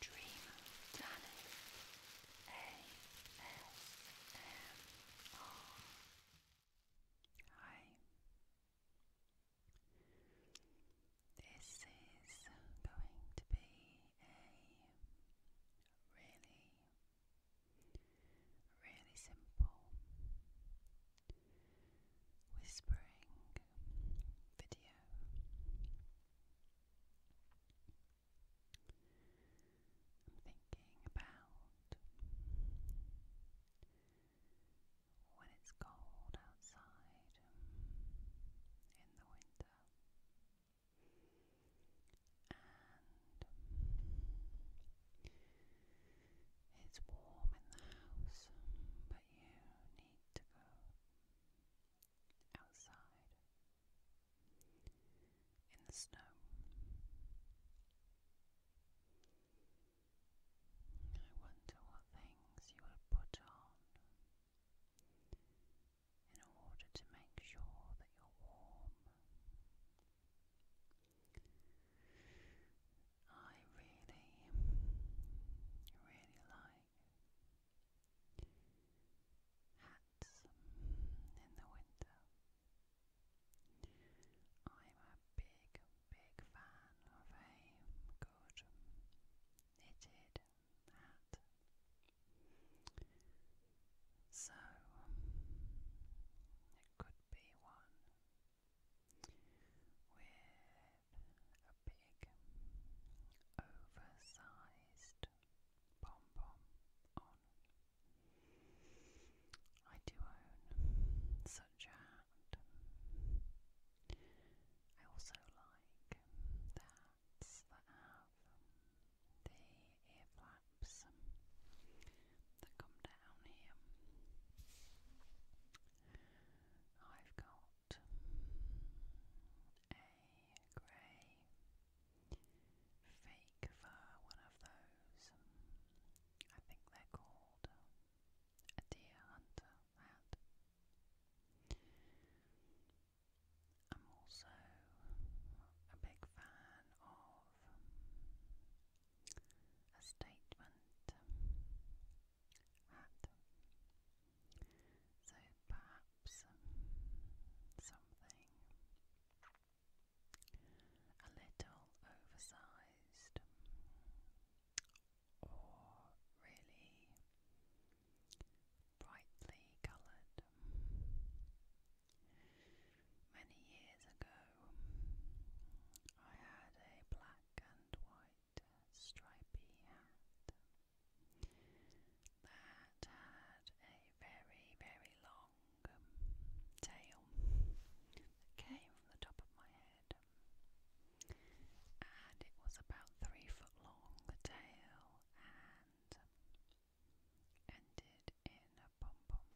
Dream Danny ASMR. This is going to be a really, really simple whispering video. I'm thinking about when it's cold outside in the winter and it's warm in the house, but you need to go outside in the snow. I wonder what things you would put on in order to make sure that you're warm. I really, really like hats in the winter. I'm a big, big fan of a good knitted hat. So, it could be one a big oversized pom pom I do own such a I also like hats that have the ear that come down here. I've got a grey fake fur, one of those. I think they're called uh, a deer hunter hat. I'm also a big fan of a statement hat. So perhaps um, something a little oversized or really brightly coloured. Many years ago, I had a black and white stripy hat that had a very, very long tail that came from the top of my head. And it was about three foot long, tail, and ended in a pom pom.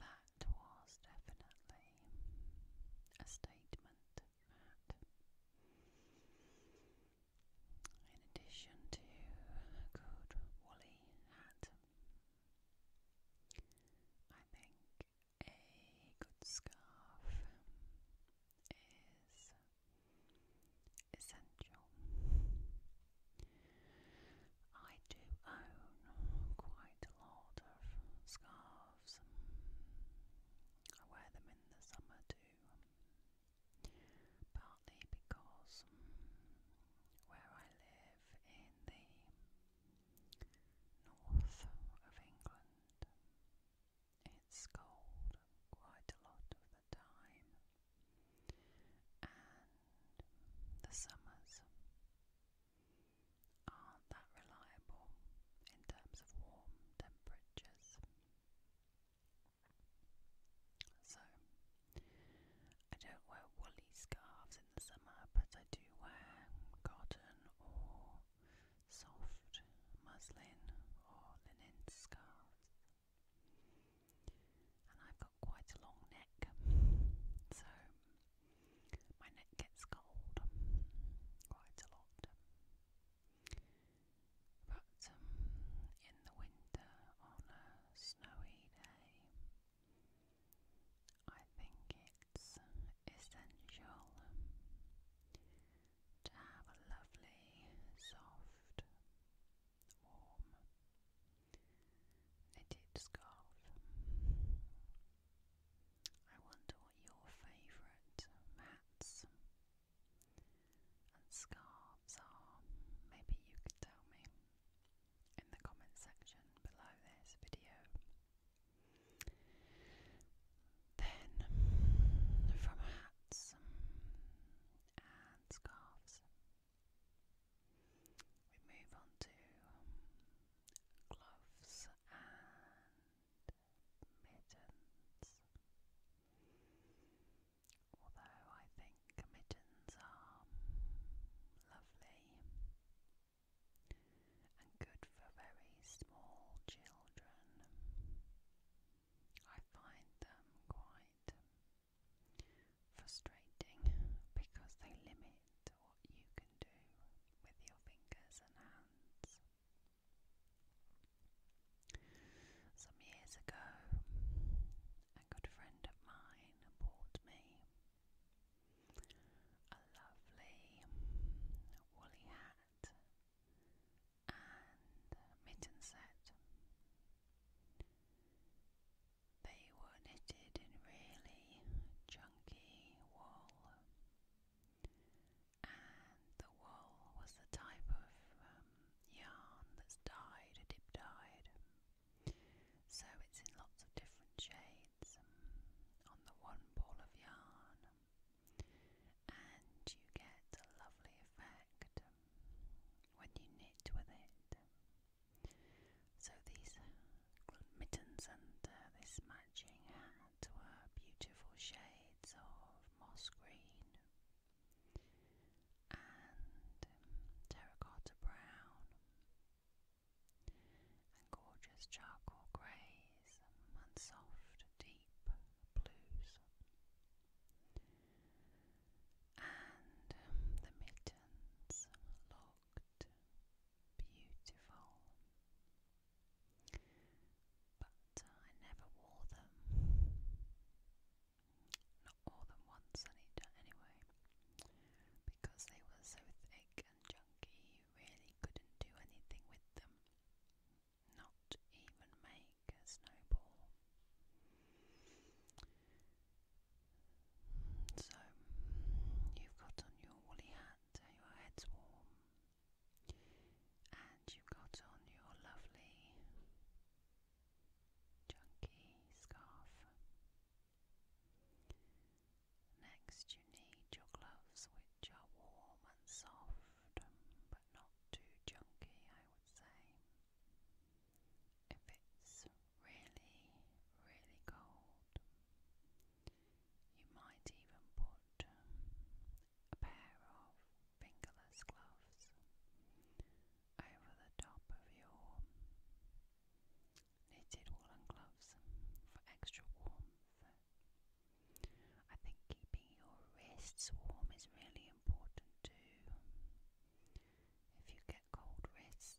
That was definitely a statement that, in addition to a good woolly hat, I think a good scarf is essential. I do own quite a lot of scarves. I wear them in the summer too, partly because where I live in the north of England, it's cold quite a lot of the time, and the summers aren't that reliable in terms of warm temperatures. So, I don't wear woolly scarves in the summer, but I do wear cotton or soft muslin or linen scarves. And I've got quite a long neck, so my neck gets cold quite a lot. But um, in the winter, on a snowy day, I think it's essential to have a lovely, soft, warm knitted scarf. I wonder what your favourite hats and scarves are. Maybe you could tell me in the comment section below this video. Then, from hats and scarves, we move on to um, gloves and mittens. Although I think mittens are lovely and good for very small children, I find them quite frustrating because they limit what you can do with your fingers and hands. Some years ago, a good friend of mine bought me a lovely woolly hat and mitten set. They were knitted in really chunky wool, and the wool was the type of um, yarn that's dyed, dip dyed. So it's in lots of different shades um, on the one ball of yarn, and you get a lovely effect um, when you knit with it. So these mittens and uh, this matching hat were beautiful shades of moss green and um, terracotta brown and gorgeous charcoal greys and soft deep blues and um, the mittens looked beautiful. But I never wore them. Not more than once anyway. Because they were so thick and junky, you really couldn't do anything with them. Not even make a snowball. So, you've got on your woolly hat, so your head's warm, and you've got on your lovely chunky scarf. Next, you need your gloves, which are warm and soft, but not too chunky, I would say if it's really, really cold, you might even put a pair of fingerless gloves over the top of your knitted woolen gloves for extra warmth. I think keeping your wrists warm is really important too. If you get cold wrists,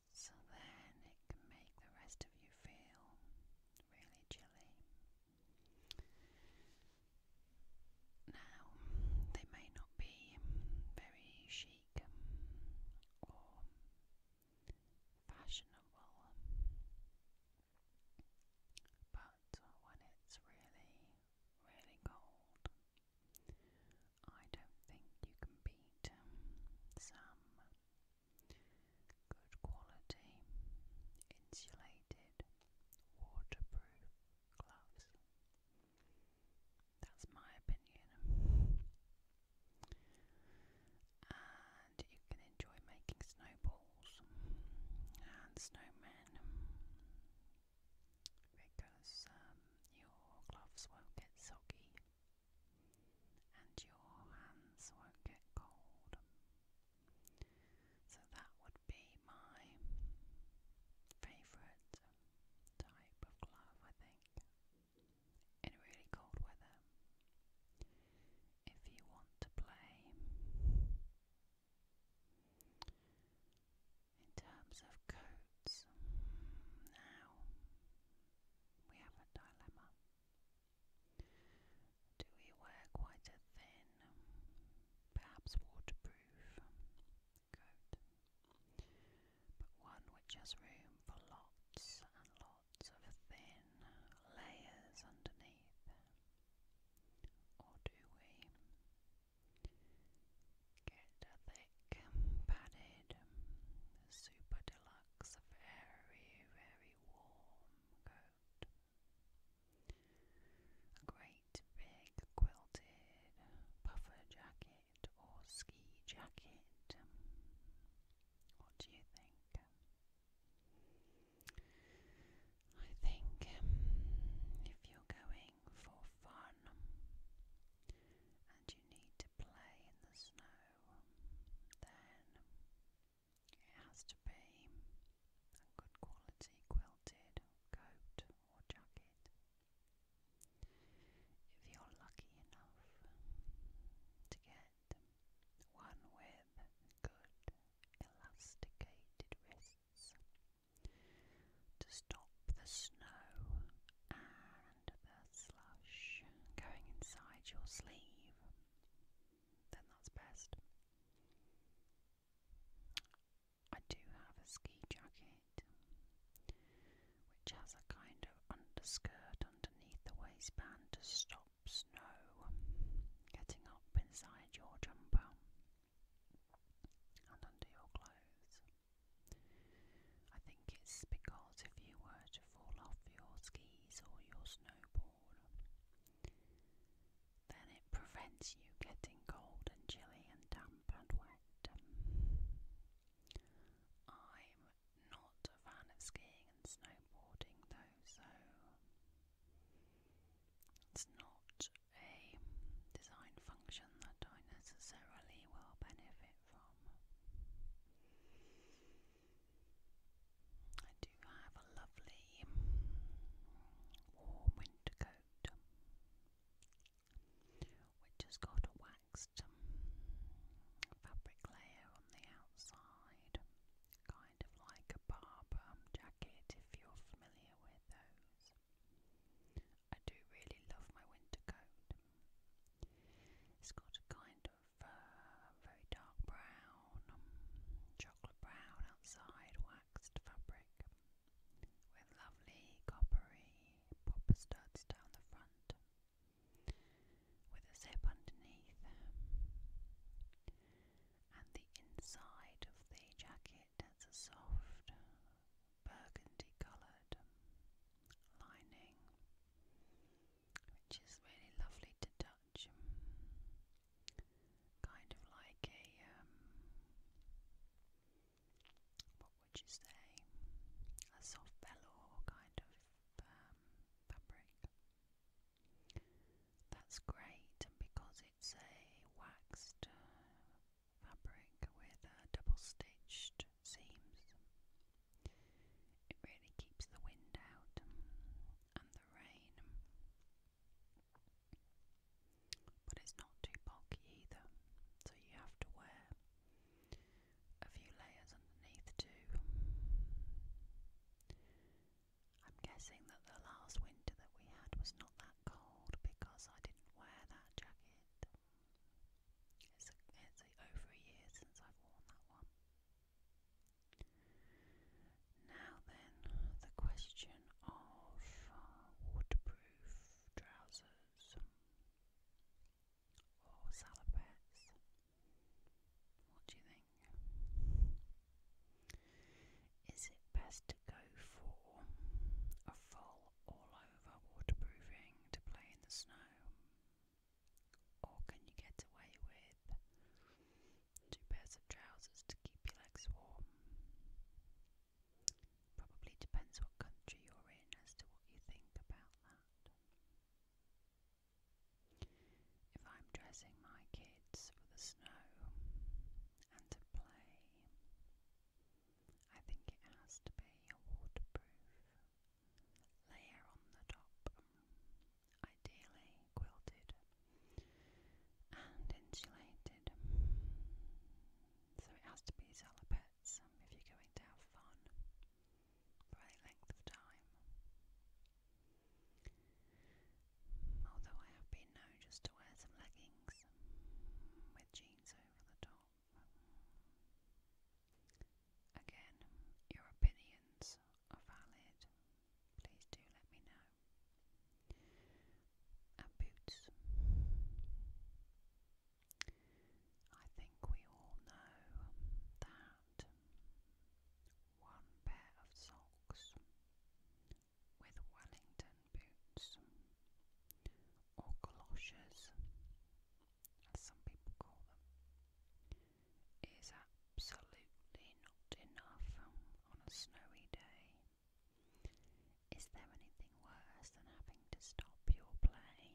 then it can make the rest of you feel really chilly. Now, they may not be very chic or fashionable, but when it's really, really cold, I don't think you can beat um, some good quality insulated waterproof gloves. That's my opinion. And you can enjoy making snowballs and snowmen because um, your gloves won't get soggy and your hands won't get cold. So that would be my favourite type of glove, I think, in really cold weather. If you want to play in terms of coats, now we have a dilemma. Do we wear quite a thin, perhaps waterproof coat, but one which has room for lots and lots of thin layers underneath? Or do we Get a thick, padded, super deluxe, very, very warm coat. A great big quilted puffer jacket or ski jacket. What do you think? I think um, if you're going playing for fun, and you need to play in the snow, then it has to be a good quality quilted coat or jacket. If you're lucky enough to get one with good elasticated wrists, to stop the snow and the slush going inside your sleeve, then that's best. I do have a ski jacket which has a kind of underskirt underneath the waistband to stop snow getting up inside your jumper and under your clothes. I think it's because if you were to fall off your skis or your snowboard, then it prevents you getting cold and chilly and damp and wet. I'm not a fan of skiing and snowboarding though, so it's not a design function that I necessarily will benefit from. I do have a lovely warm winter coat which has got a waxed fabric layer on the outside, kind of like a barber jacket if you're familiar with those. I do really love my winter coat. It's got a kind of uh, very dark brown, um, chocolate brown outside waxed fabric with lovely coppery popper studs down the front with a zip underneath. And the inside of the jacket it has a soft burgundy coloured lining, which is really lovely to touch. Kind of like a, um, what would you say, a soft velour kind of um, fabric. That's great, and because it's waxed fabric with uh, double stitched seams. It really keeps the wind out and the rain. But it's not too bulky either, so you have to wear a few layers underneath too. I'm guessing that the last winter that we had was not that cold because I didn't wear that jacket. It's, it's over a year since I've worn that one. Now then, the question of uh, waterproof trousers or salopettes. What do you think? Is it best to go for a full all over waterproofing to play in the snow? Or can you get away with two pairs of trousers to keep your legs warm? Probably depends what country you're in as to what you think about that. If I'm dressing my kids for the snow, and to play. I think it has to be a waterproof layer on the top, ideally quilted and insulated. So it has to be salopettes um, if you're going to have fun for any length of time although I have been known just to wear some leggings with jeans over the top. Again, your opinions are valid. Please do let me know. And boots. I think we all know that one pair of socks with Wellington boots or galoshes, as some people call them, is absolutely not enough on a snowy day. Is there anything worse than having to stop your play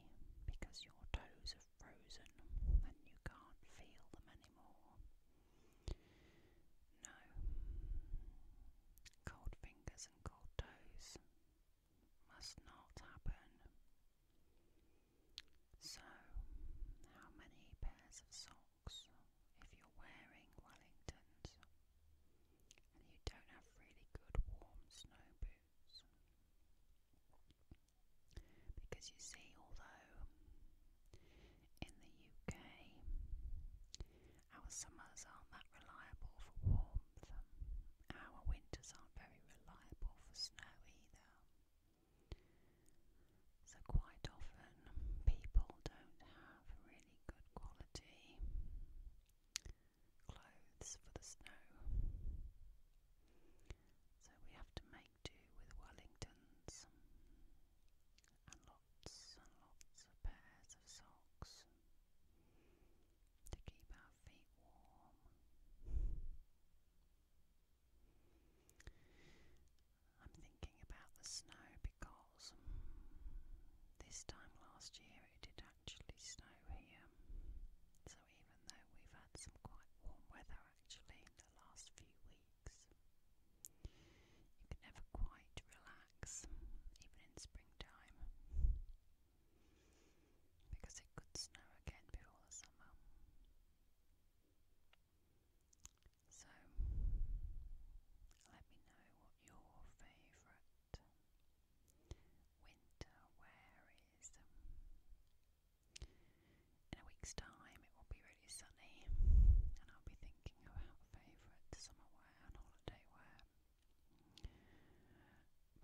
because your toes are frozen and you can't feel them anymore? No. Cold fingers and cold toes must not happen. So, how many pairs of socks if you're wearing Wellingtons and you don't have really good warm snow boots? Because you see, although in the UK. Our summers aren't that reliable for warmth. Our winters aren't very reliable for snow either. So, quite often, people don't have really good quality clothes for the snow. So, we have to make do with Wellingtons and lots and lots of pairs of socks to keep our feet warm. I'm thinking about the snow because um, this time last year it did actually snow here. So even though we've had some quite warm weather actually in the last few you can never quite relax, even in springtime, because it could snow again before the summer. So, let me know what your favourite winter wear is. In a week's time, it will be really sunny, and I'll be thinking about favourite summer wear and holiday wear.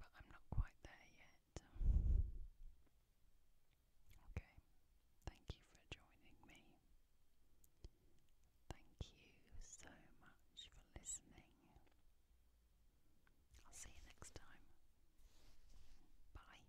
But I'm not quite there yet. Okay, thank you for joining me. Thank you so much for listening. I'll see you next time. Bye.